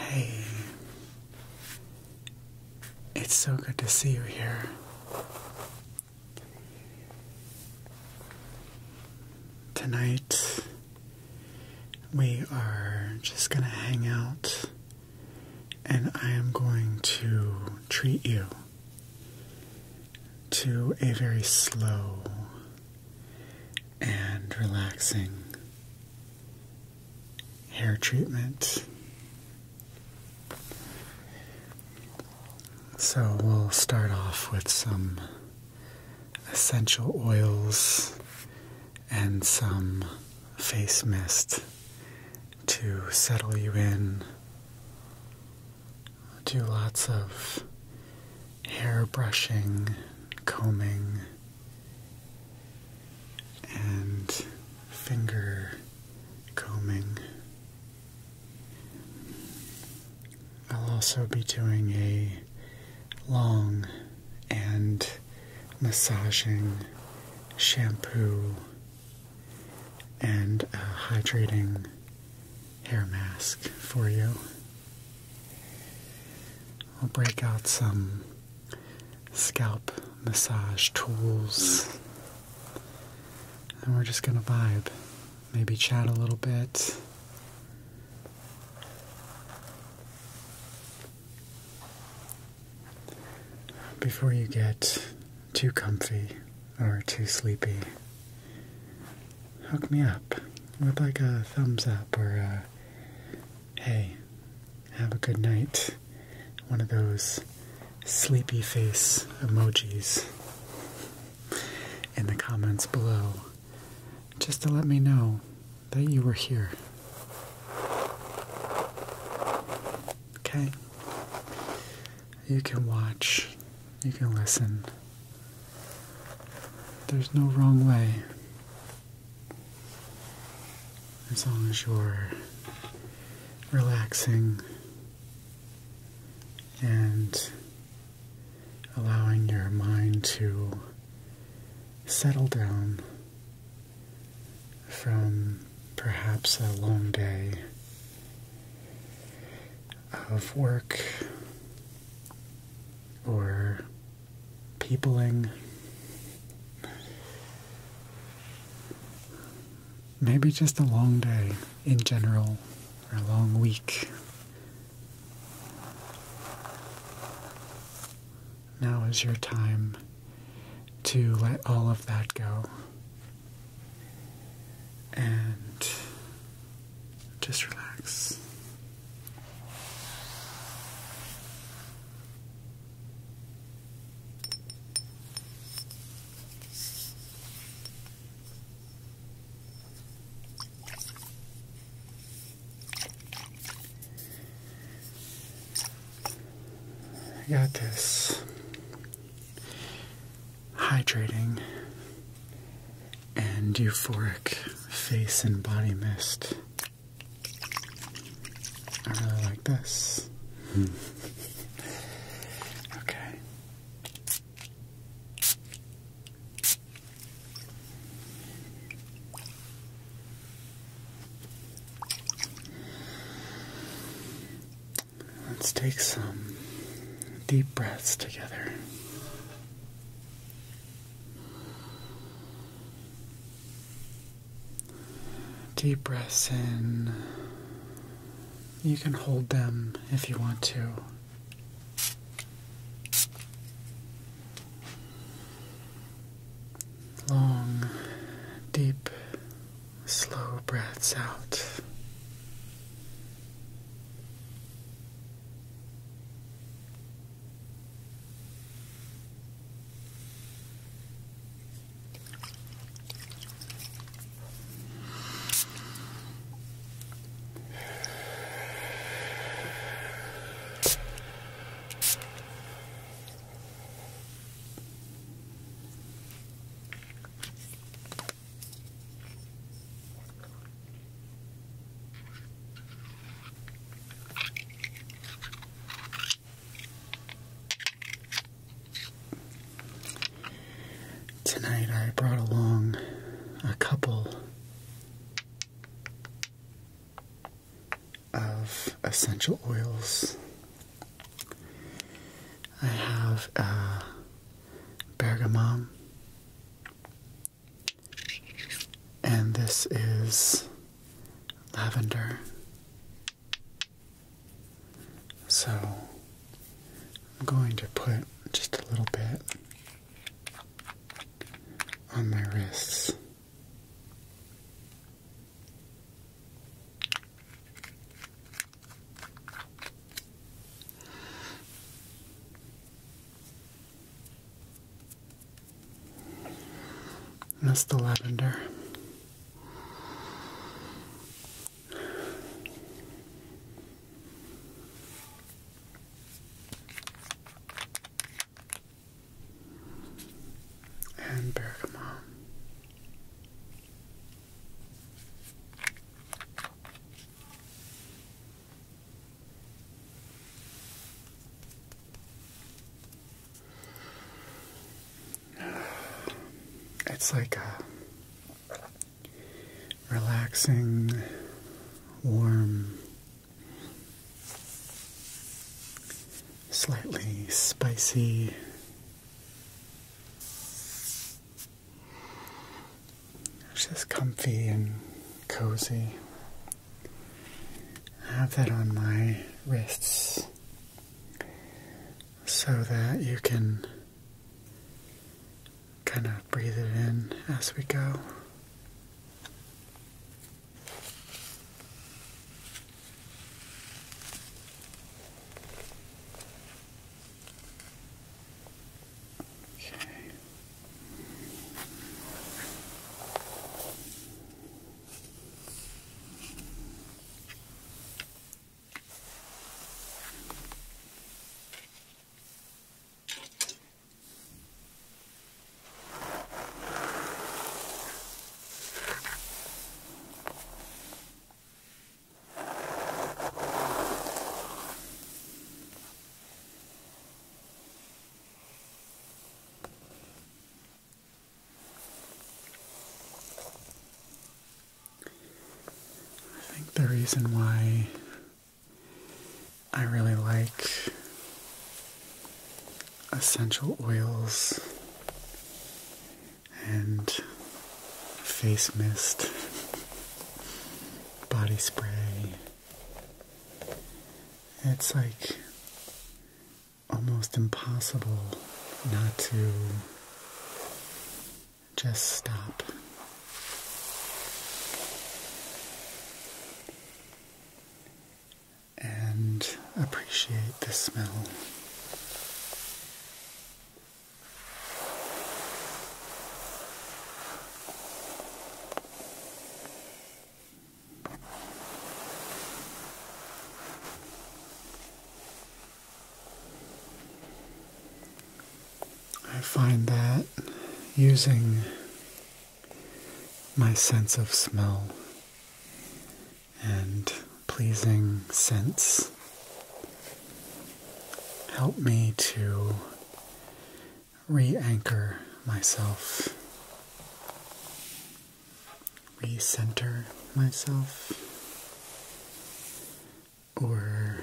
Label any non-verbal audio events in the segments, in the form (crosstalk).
Hey, it's so good to see you here. Tonight, we are just going to hang out and I am going to treat you to a very slow and relaxing hair treatment. So we'll start off with some essential oils and some face mist to settle you in. Do lots of hair brushing, combing, and finger combing. I'll also be doing a long and massaging shampoo and a hydrating hair mask for you. I'll break out some scalp massage tools and we're just going to vibe maybe chat a little bit. Before you get too comfy or too sleepy, hook me up with like a thumbs up or hey, have a good night. One of those sleepy face emojis in the comments below just to let me know that you were here. Okay? You can watch, you can listen. There's no wrong way. As long as you're relaxing and allowing your mind to settle down from perhaps a long day of work or peopling. Maybe just a long day in general, or a long week, now is your time to let all of that go and just relax. I got this hydrating and euphoric face and body mist. I really like this. Hmm. (laughs) okay. Let's take some deep breaths together. Deep breaths in. You can hold them if you want to. Long, deep, slow breaths out. Tonight I brought along a couple of essential oils. I have uh, bergamot, and this is lavender. So I'm going to put just a little bit on my wrists. that's the lavender and bergamot. (sighs) It's like a relaxing, warm, slightly spicy. just comfy and cozy. I have that on my wrists so that you can kind of breathe it in as we go. Okay. I think the reason why I really like essential oils and face mist, body spray. It's like almost impossible not to just stop and appreciate the smell. I find that using my sense of smell and pleasing scents help me to re anchor myself, re-center myself, or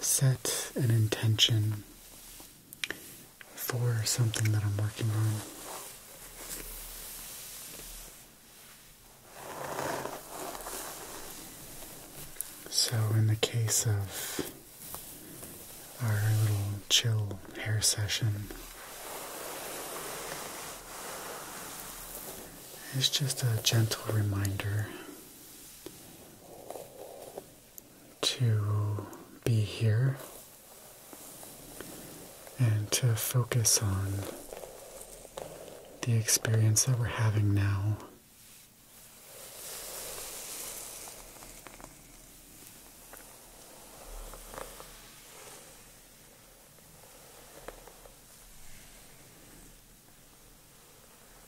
set an intention for something that I'm working on. So, in the case of our little chill hair session, it's just a gentle reminder to be here and to focus on the experience that we're having now.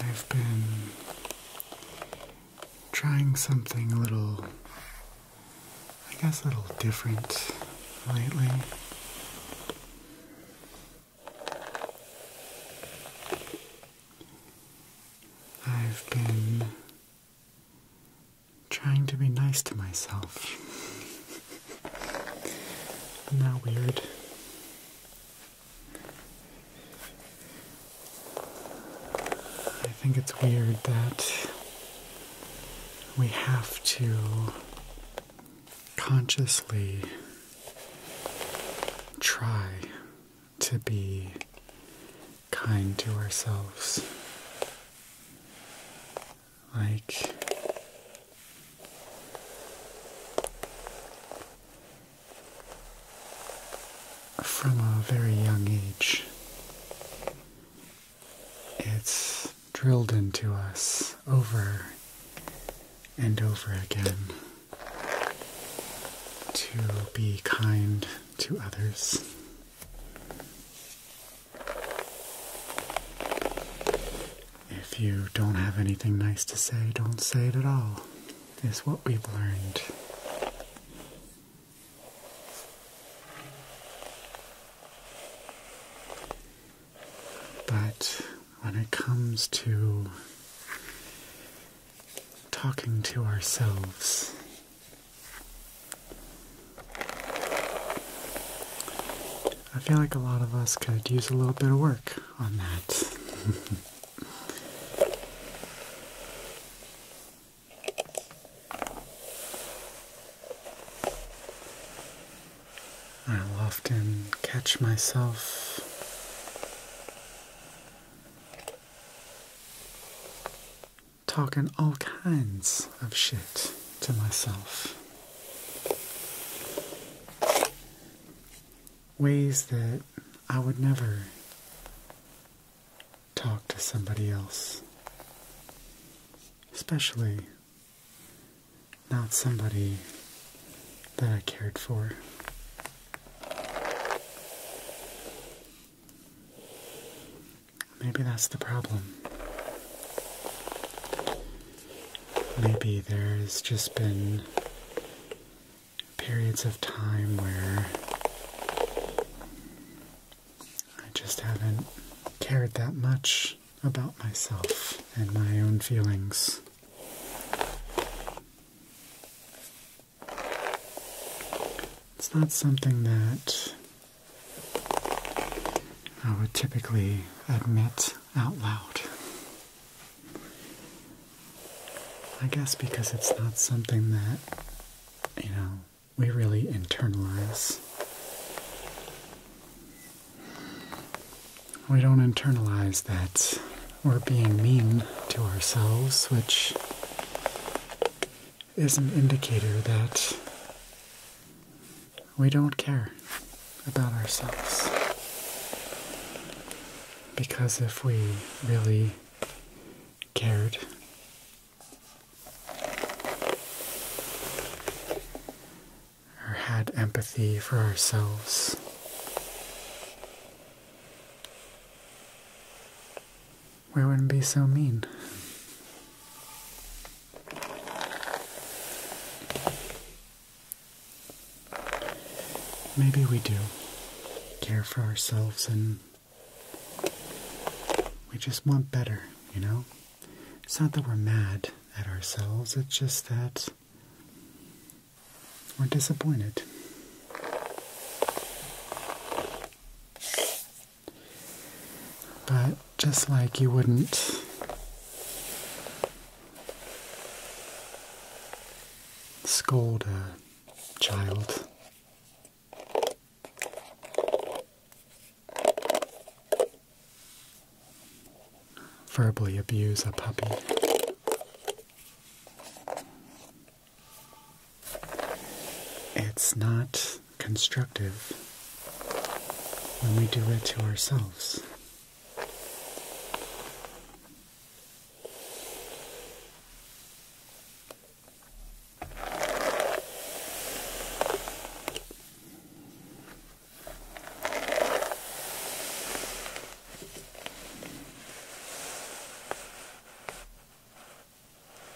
I've been trying something a little, I guess, a little different lately. I've been trying to be nice to myself. (laughs) I'm not weird. I think it's weird that we have to consciously try to be kind to ourselves. Like from a very young age, it's drilled into us over and over again to be kind to others. If you don't have anything nice to say, don't say it at all, is what we've learned. But when it comes to talking to ourselves, I feel like a lot of us could use a little bit of work on that. (laughs) I'll often catch myself talking all kinds of shit to myself. Ways that I would never talk to somebody else, especially not somebody that I cared for. Maybe that's the problem. Maybe there's just been periods of time where I just haven't cared that much about myself and my own feelings. It's not something that I would typically admit out loud. I guess because it's not something that, you know, we really internalize. We don't internalize that we're being mean to ourselves, which is an indicator that we don't care about ourselves. Because if we really cared, or had empathy for ourselves, we wouldn't be so mean. Maybe we do care for ourselves and we just want better, you know? It's not that we're mad at ourselves, it's just that we're disappointed. But just like you wouldn't scold a child. Verbally abuse a puppy. It's not constructive when we do it to ourselves.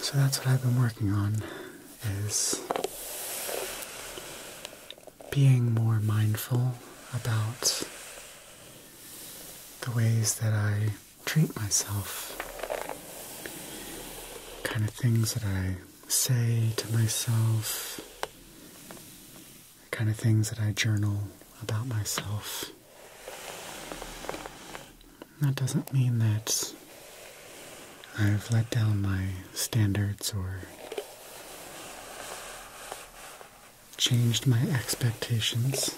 So that's what I've been working on is being more mindful about the ways that I treat myself, kind of things that I say to myself, the kind of things that I journal about myself. That doesn't mean that I've let down my standards or changed my expectations.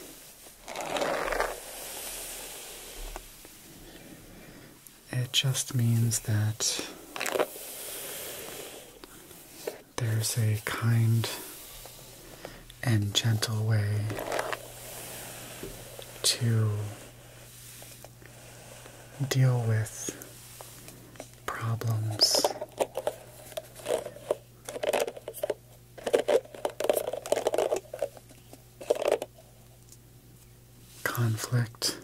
It just means that there's a kind and gentle way to deal with problems. Conflict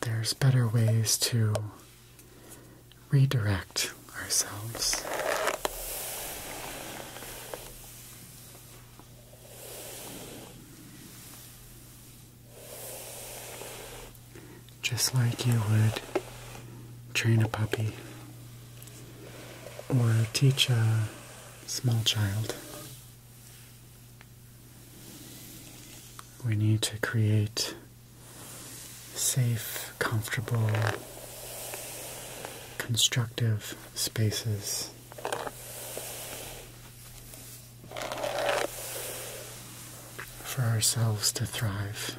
there's better ways to redirect ourselves. Just like you would train a puppy or teach a small child. We need to create safe, comfortable, constructive spaces. For ourselves to thrive.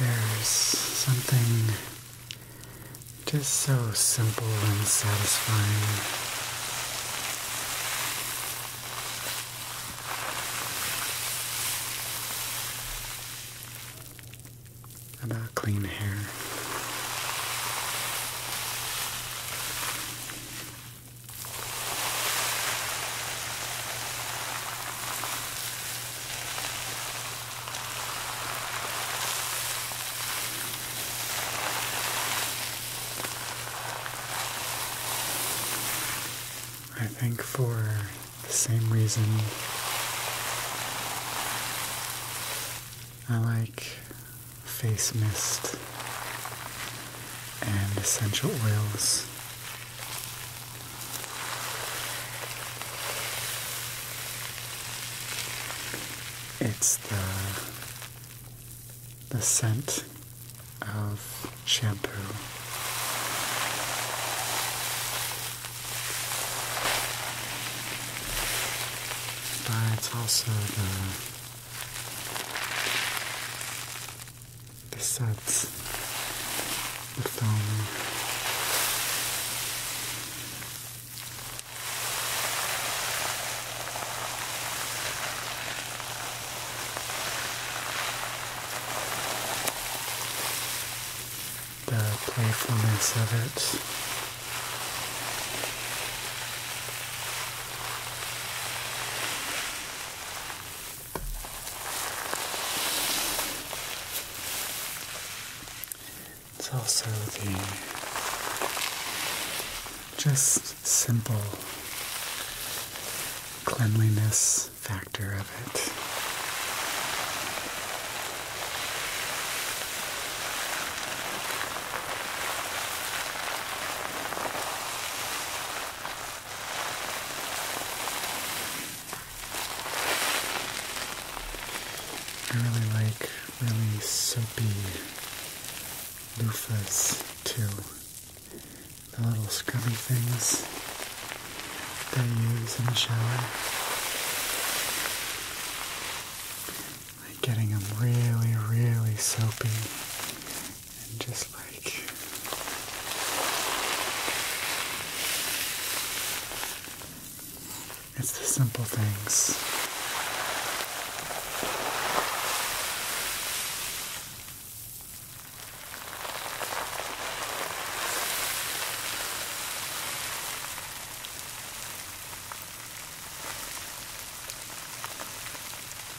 There's something just so simple and satisfying. About clean hair. I think for the same reason I like face mist, and essential oils. It's the the scent of shampoo. But it's also the the sets of them. The playfulness of it. It's also the just simple cleanliness factor of it. I really like really soapy loofahs too. The little scrubby things they use in the shower like getting them really, really soapy and just like it's the simple things.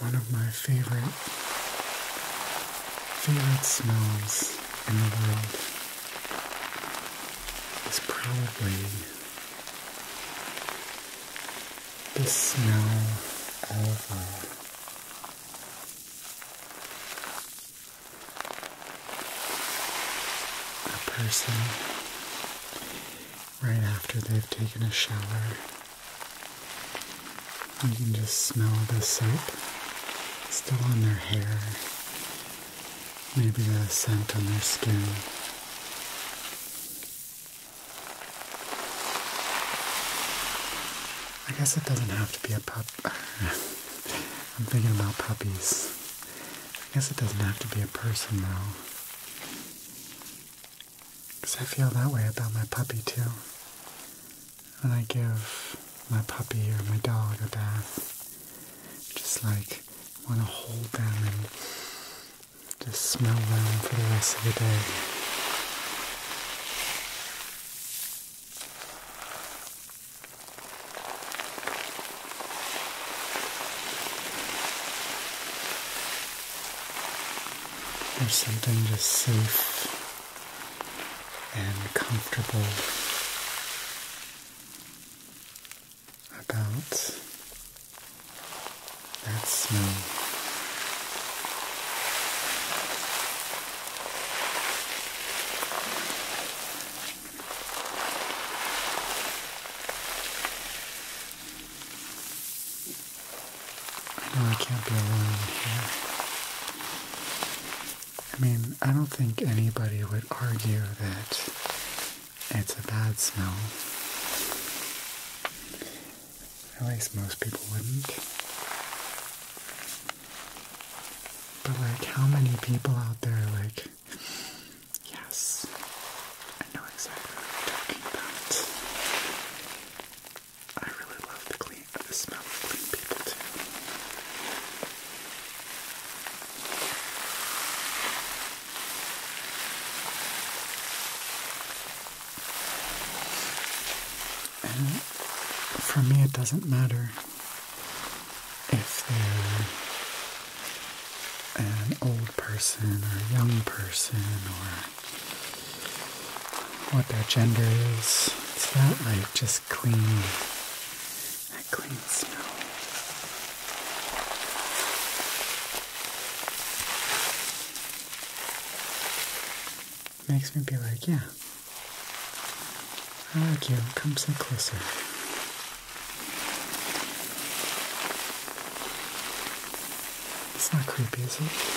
one of my favorite favorite smells in the world is probably the smell of a, uh, a person right after they've taken a shower. You can just smell the soap still on their hair, maybe the scent on their skin. I guess it doesn't have to be a pup. (laughs) I'm thinking about puppies. I guess it doesn't have to be a person though. Because I feel that way about my puppy too. When I give my puppy or my dog a bath, just like want to hold them and just smell them for the rest of the day. There's something just safe and comfortable about that smell. I know I can't be alone here. I mean, I don't think anybody would argue that it's a bad smell. At least most people wouldn't. But like, how many people out there like, yes, I know exactly what you're talking about. I really love the clean the smell of clean people too. And for me it doesn't matter if they're an old person or a young person or what their gender is. It's that like just clean, that clean smell. Makes me be like, yeah. I like you. Come so closer. It's not creepy, is it?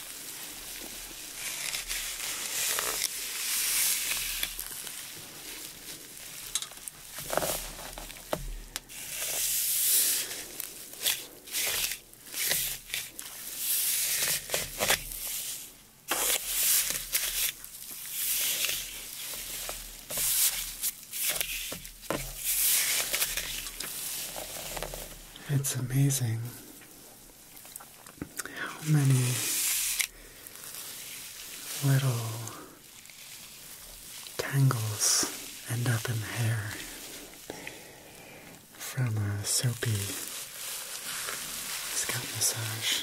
It's amazing how many little tangles end up in hair from a soapy scalp massage.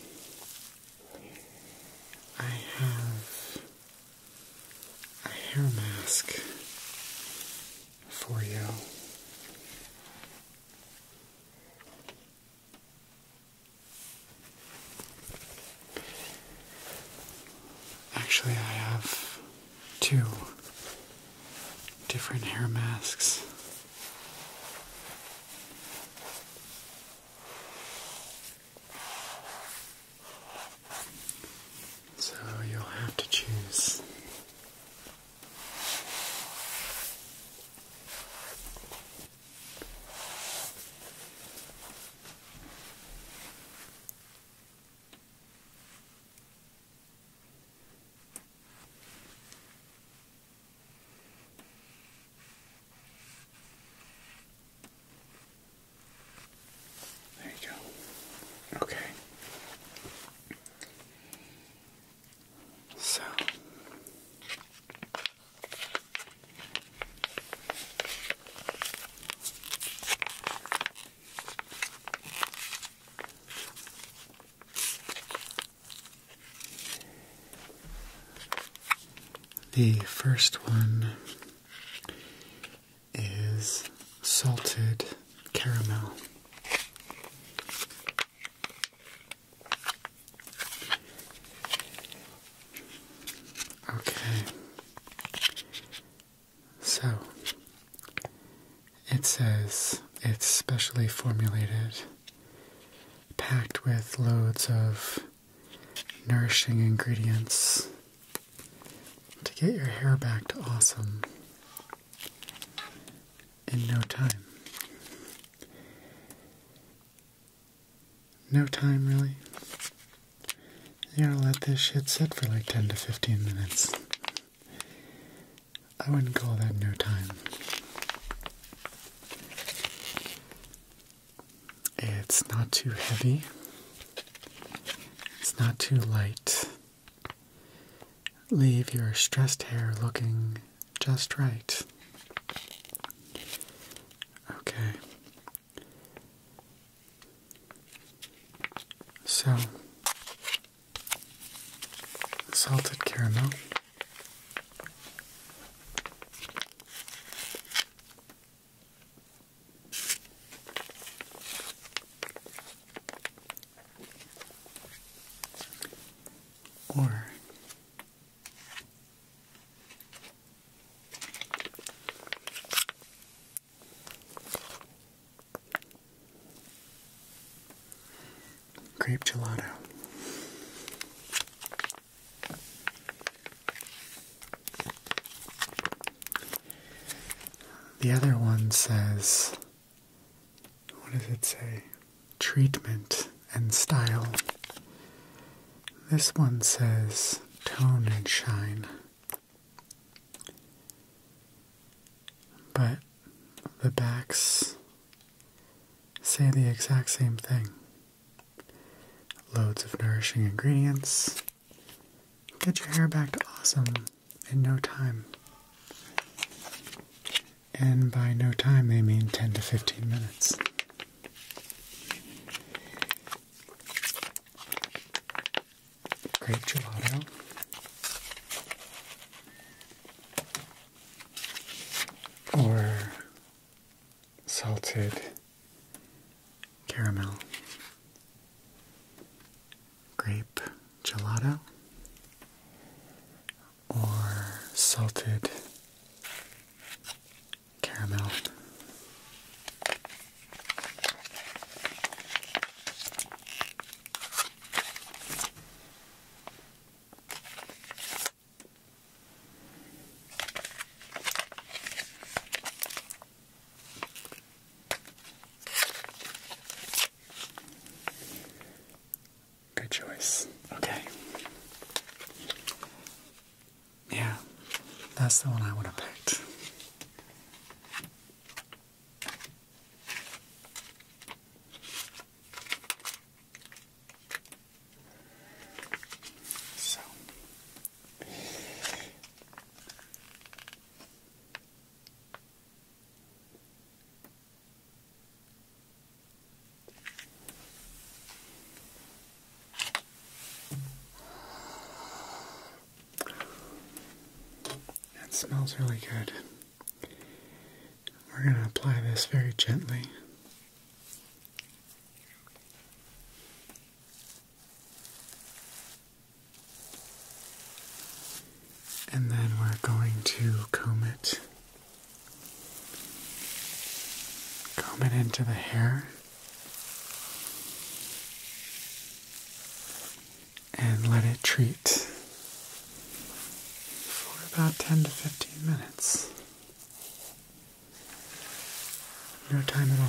I have a hair mask for you. Actually, I have two different hair masks. So you'll have to choose. There you go. Okay. So the first one is salted caramel. Okay. So it says it's specially formulated packed with loads of nourishing ingredients to get your hair back to awesome in no time. No time, really. You gotta let this shit sit for like 10 to 15 minutes. I wouldn't call that no time. It's not too heavy. It's not too light. Leave your stressed hair looking just right. Okay. So, salted caramel or grape gelato. The other one says, what does it say? Treatment and style. This one says tone and shine. But the backs say the exact same thing. Loads of nourishing ingredients. Get your hair back awesome in no time. And by no time, they mean 10 to 15 minutes. Great gelato. Or salted caramel, grape gelato, or salted caramel. Good choice. Okay. Yeah, that's the one I would have picked. So that smells really good. We're going to apply this very gently. And then we're going to comb it. Comb it into the hair. And let it treat for about 10 to 15 minutes. No time at all.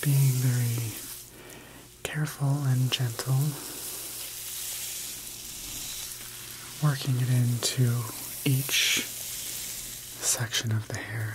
Being very careful and gentle, working it into each section of the hair.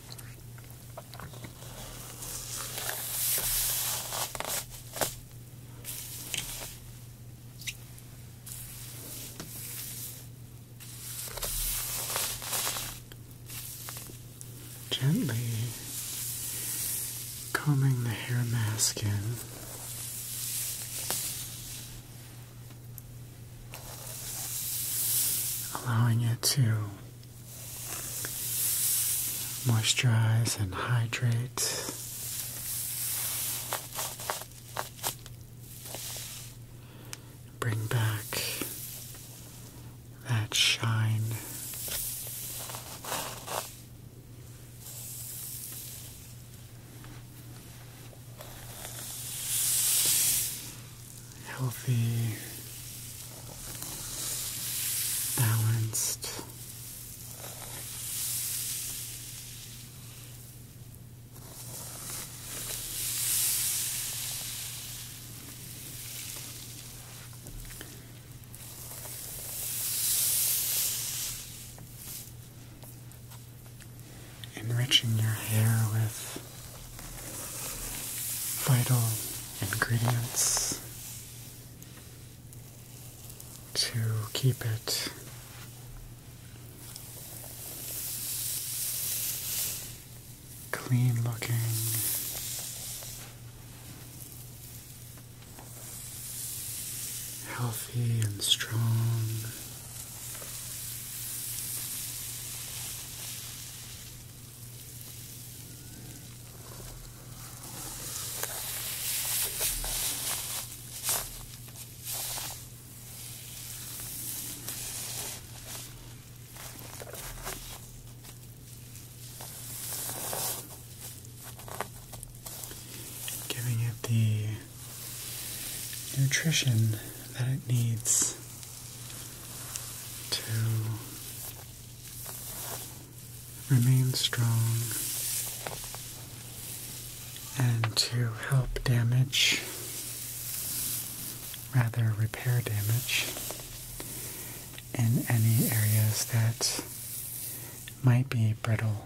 Gently combing the hair mask in. Allowing it to moisturize and hydrate. Bring back that shine. Healthy balanced. Enriching your hair with vital ingredients to keep it clean looking. Healthy and strong. Giving it the nutrition that it needs to remain strong and to help damage, rather repair damage, in any areas that might be brittle.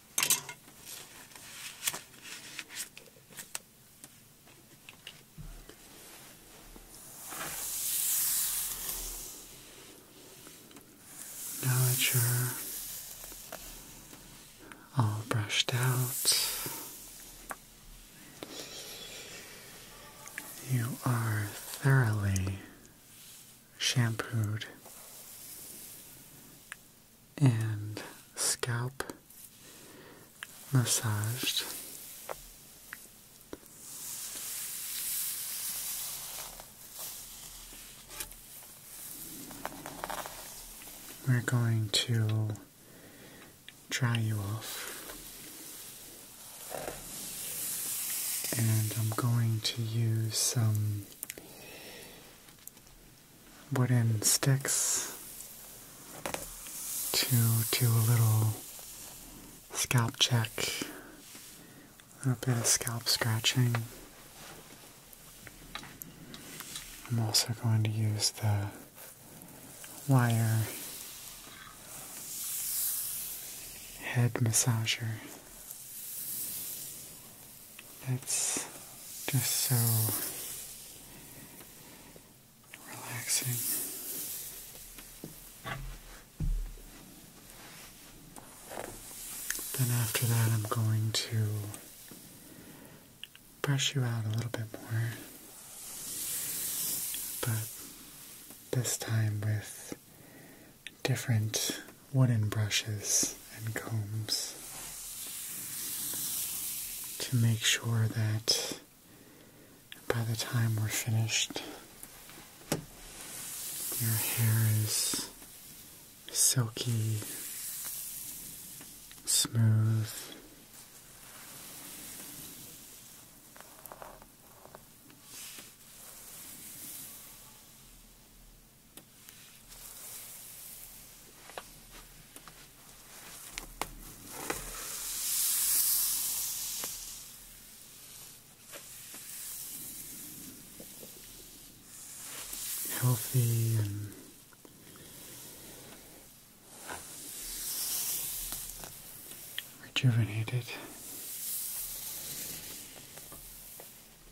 Now that you're all brushed out, you are thoroughly shampooed and scalp massaged. We're going to dry you off. And I'm going to use some wooden sticks to do a little scalp check, a little bit of scalp scratching. I'm also going to use the wire head massager that's just so relaxing. Then after that, I'm going to brush you out a little bit more, but this time with different wooden brushes and combs to make sure that by the time we're finished, your hair is silky, smooth healthy and rejuvenated.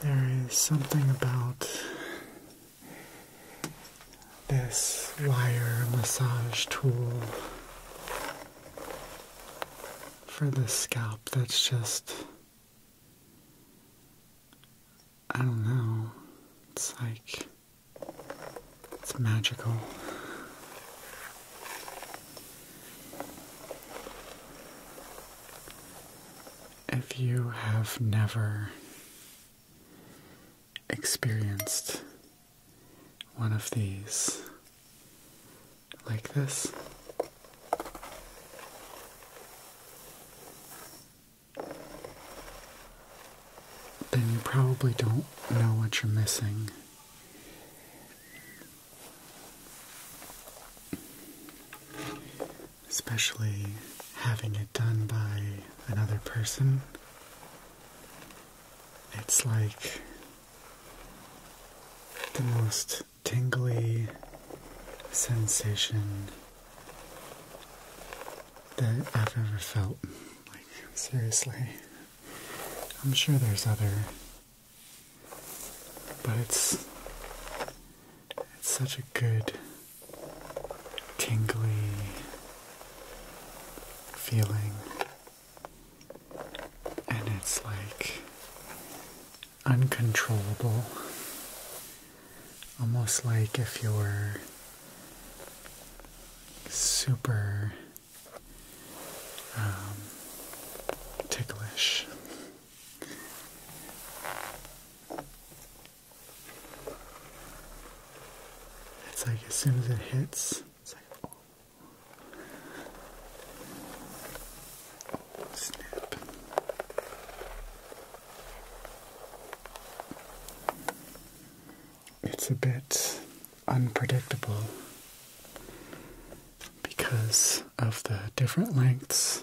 There is something about this wire massage tool for the scalp that's just I don't know. It's like it's magical if you have never experienced one of these like this, then you probably don't know what you're missing especially having it done by another person. It's like the most tingly sensation that I've ever felt. Like, seriously. I'm sure there's other, but it's, it's such a good tingly feeling, and it's like uncontrollable, almost like if you were super um, ticklish. It's like as soon as it hits, it's like, oh. snap. It's a bit unpredictable because of the different lengths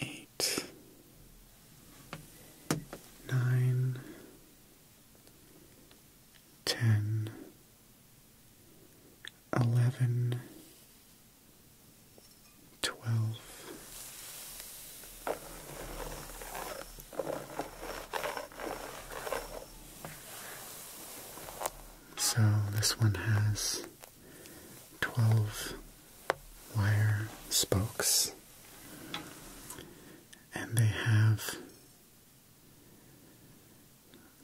eight, nine, ten, eleven, twelve. So this one has 12 wire spokes, and they have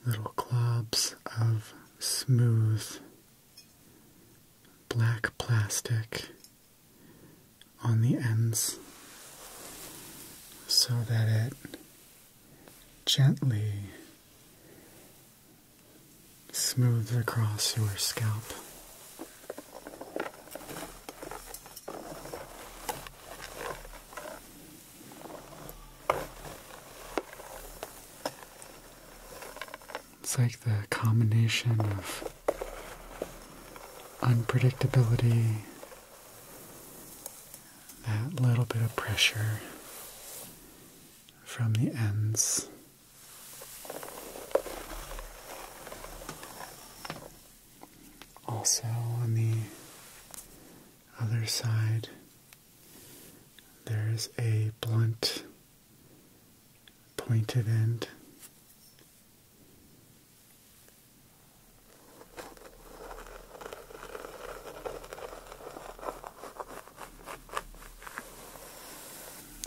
little globs of smooth black plastic on the ends so that it gently smooth across your scalp. It's like the combination of unpredictability, that little bit of pressure from the ends also, on the other side, there's a blunt pointed end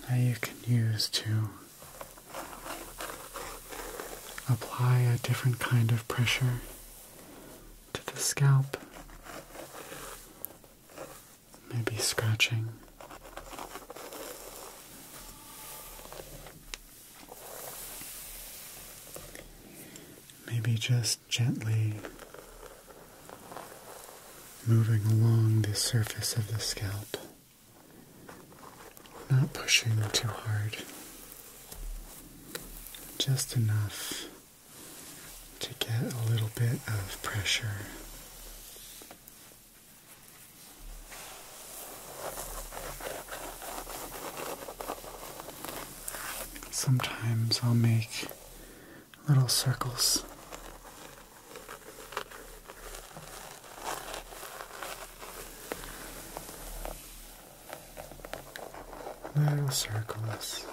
that you can use to apply a different kind of pressure to the scalp. Maybe scratching. Maybe just gently moving along the surface of the scalp, not pushing too hard, just enough to get a little bit of pressure. Sometimes I'll make little circles. Little circles.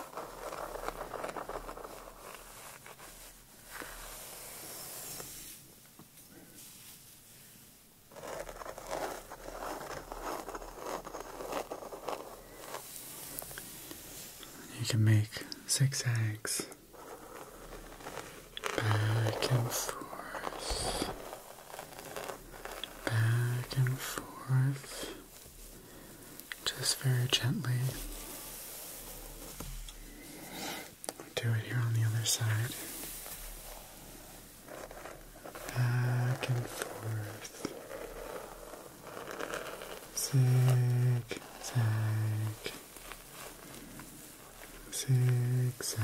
You can make zigzags. Back and forth. Back and forth. Just very gently. Do it here on the other side. Back and forth. Zig, zag zigzag.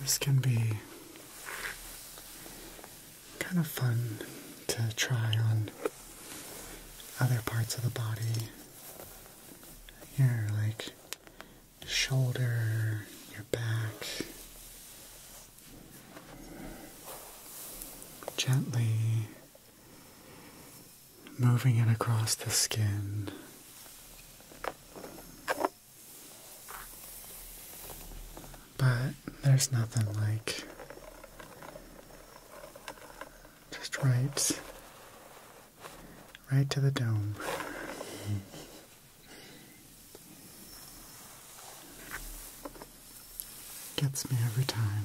This can be kind of fun to try on other parts of the body your like shoulder, your back. Gently moving it across the skin. But there's nothing like just right right to the dome. Gets me every time.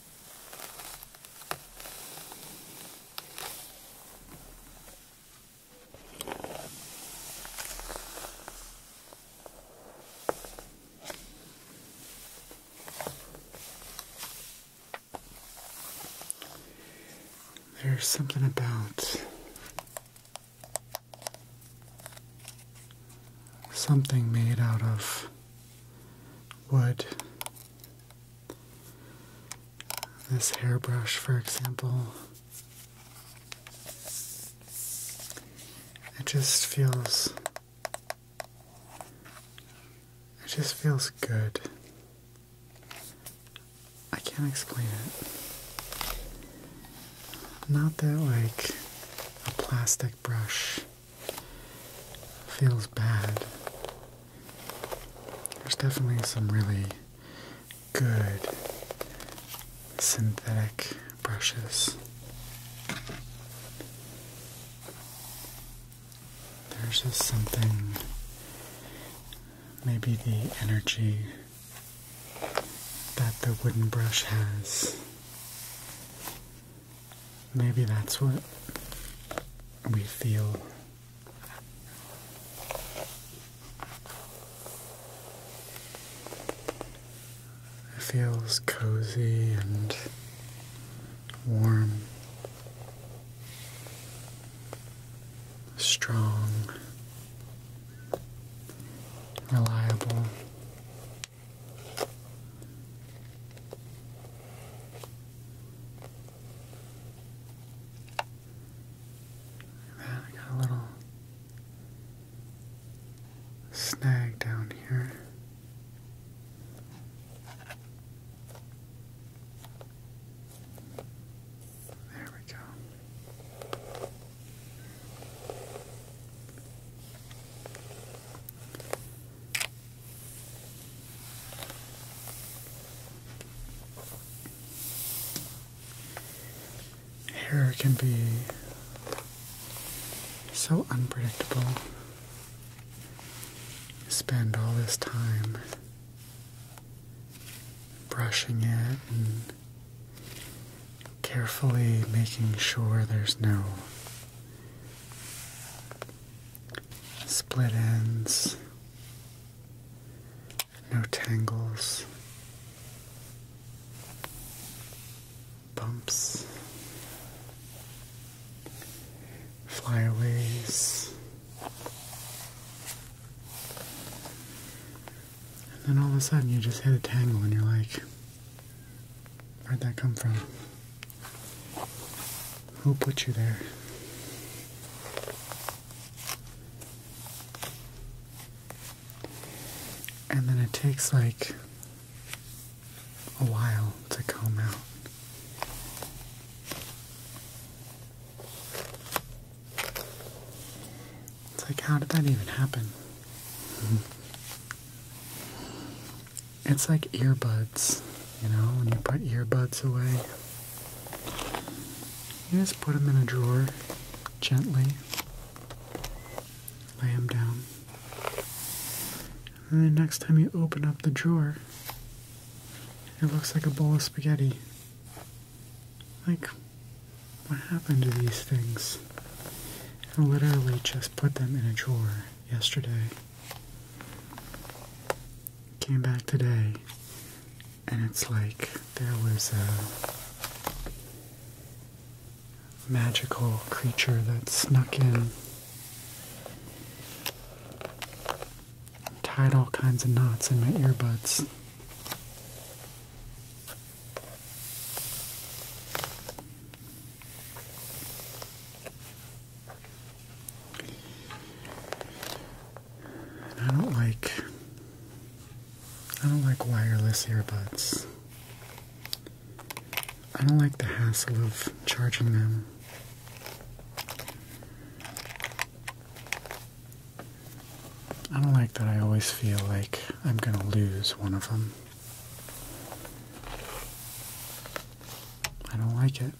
There's something about something made out of wood this hairbrush, for example, it just feels. It just feels good. I can't explain it. Not that, like, a plastic brush feels bad. There's definitely some really good synthetic brushes. There's just something, maybe the energy that the wooden brush has. Maybe that's what we feel it feels cozy and warm, strong, reliable. Man, I got a little snag down here. There we go. Hair can be so unpredictable. spend all this time brushing it and carefully making sure there's no split ends no tangles, bumps, flyaways, and then all of a sudden you just hit a tangle and you're like, where'd that come from? Who put you there? And then it takes like a while to come out. It's like, how did that even happen? It's like earbuds, you know, when you put earbuds away. You just put them in a drawer gently, lay them down. And then the next time you open up the drawer, it looks like a bowl of spaghetti. Like, what happened to these things? I literally just put them in a drawer yesterday. Came back today and it's like there was a magical creature that snuck in tied all kinds of knots in my earbuds. I don't like I don't like wireless earbuds. I don't like the hassle of charging them. I don't like that I always feel like I'm going to lose one of them. I don't like it.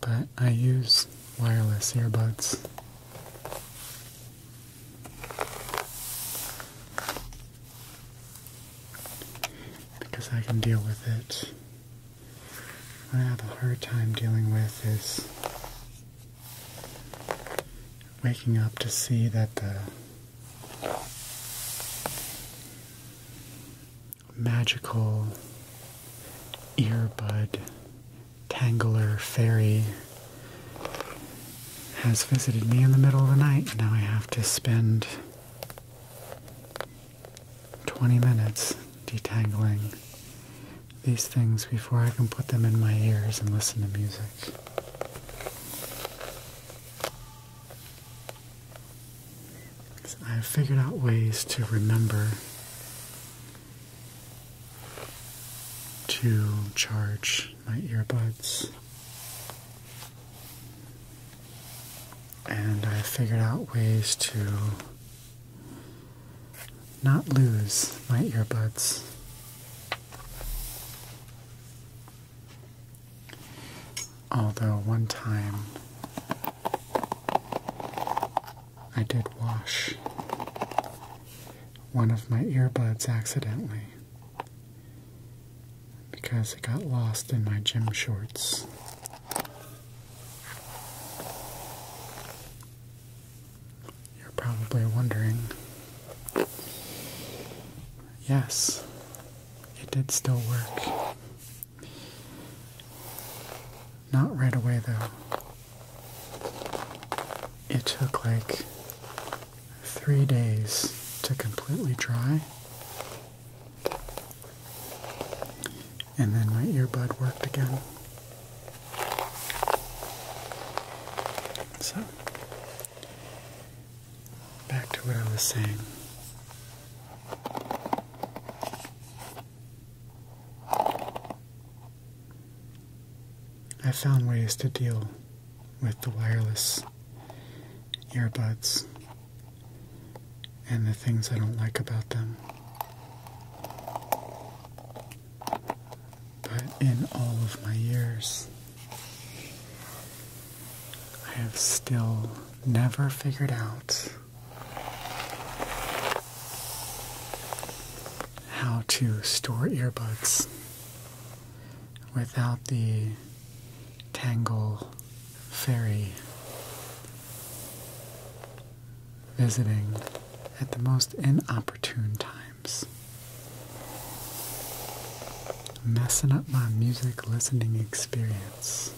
But I use wireless earbuds. Because I can deal with it. What I have a hard time dealing with is waking up to see that the magical earbud tangler fairy has visited me in the middle of the night. Now I have to spend 20 minutes detangling these things before I can put them in my ears and listen to music. I have figured out ways to remember to charge my earbuds. And I figured out ways to not lose my earbuds. Although, one time I did wash one of my earbuds accidentally because it got lost in my gym shorts. You're probably wondering. Yes, it did still work. Not right away, though. It took like three days to completely dry. And then my earbud worked again. So, back to what I was saying. I have found ways to deal with the wireless earbuds and the things I don't like about them. But in all of my years, I have still never figured out how to store earbuds without the Tangle Fairy visiting at the most inopportune times. Messing up my music listening experience.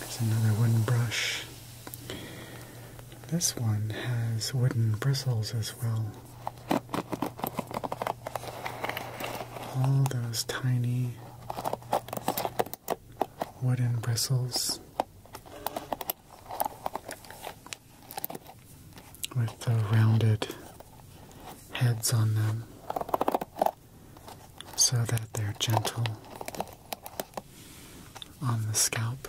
There's another wooden brush. This one has wooden bristles as well. All those tiny wooden bristles with the rounded heads on them so that they're gentle on the scalp.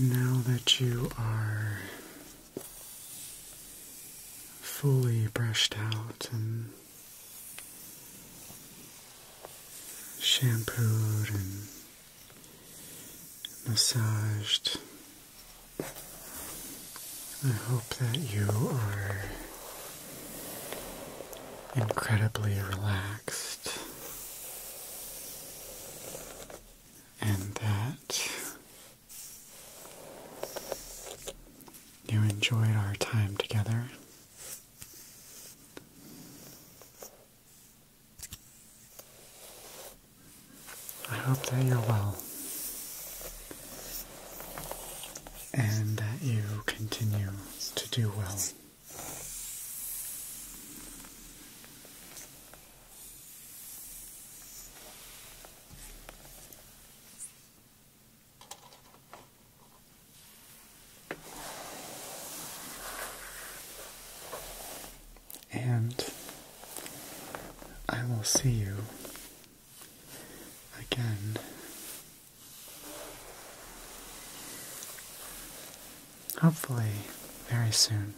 Now that you are fully brushed out and shampooed and massaged, I hope that you are incredibly relaxed and that you enjoyed our time together. I hope that you're well and that you continue to do well. And I will see you again hopefully very soon.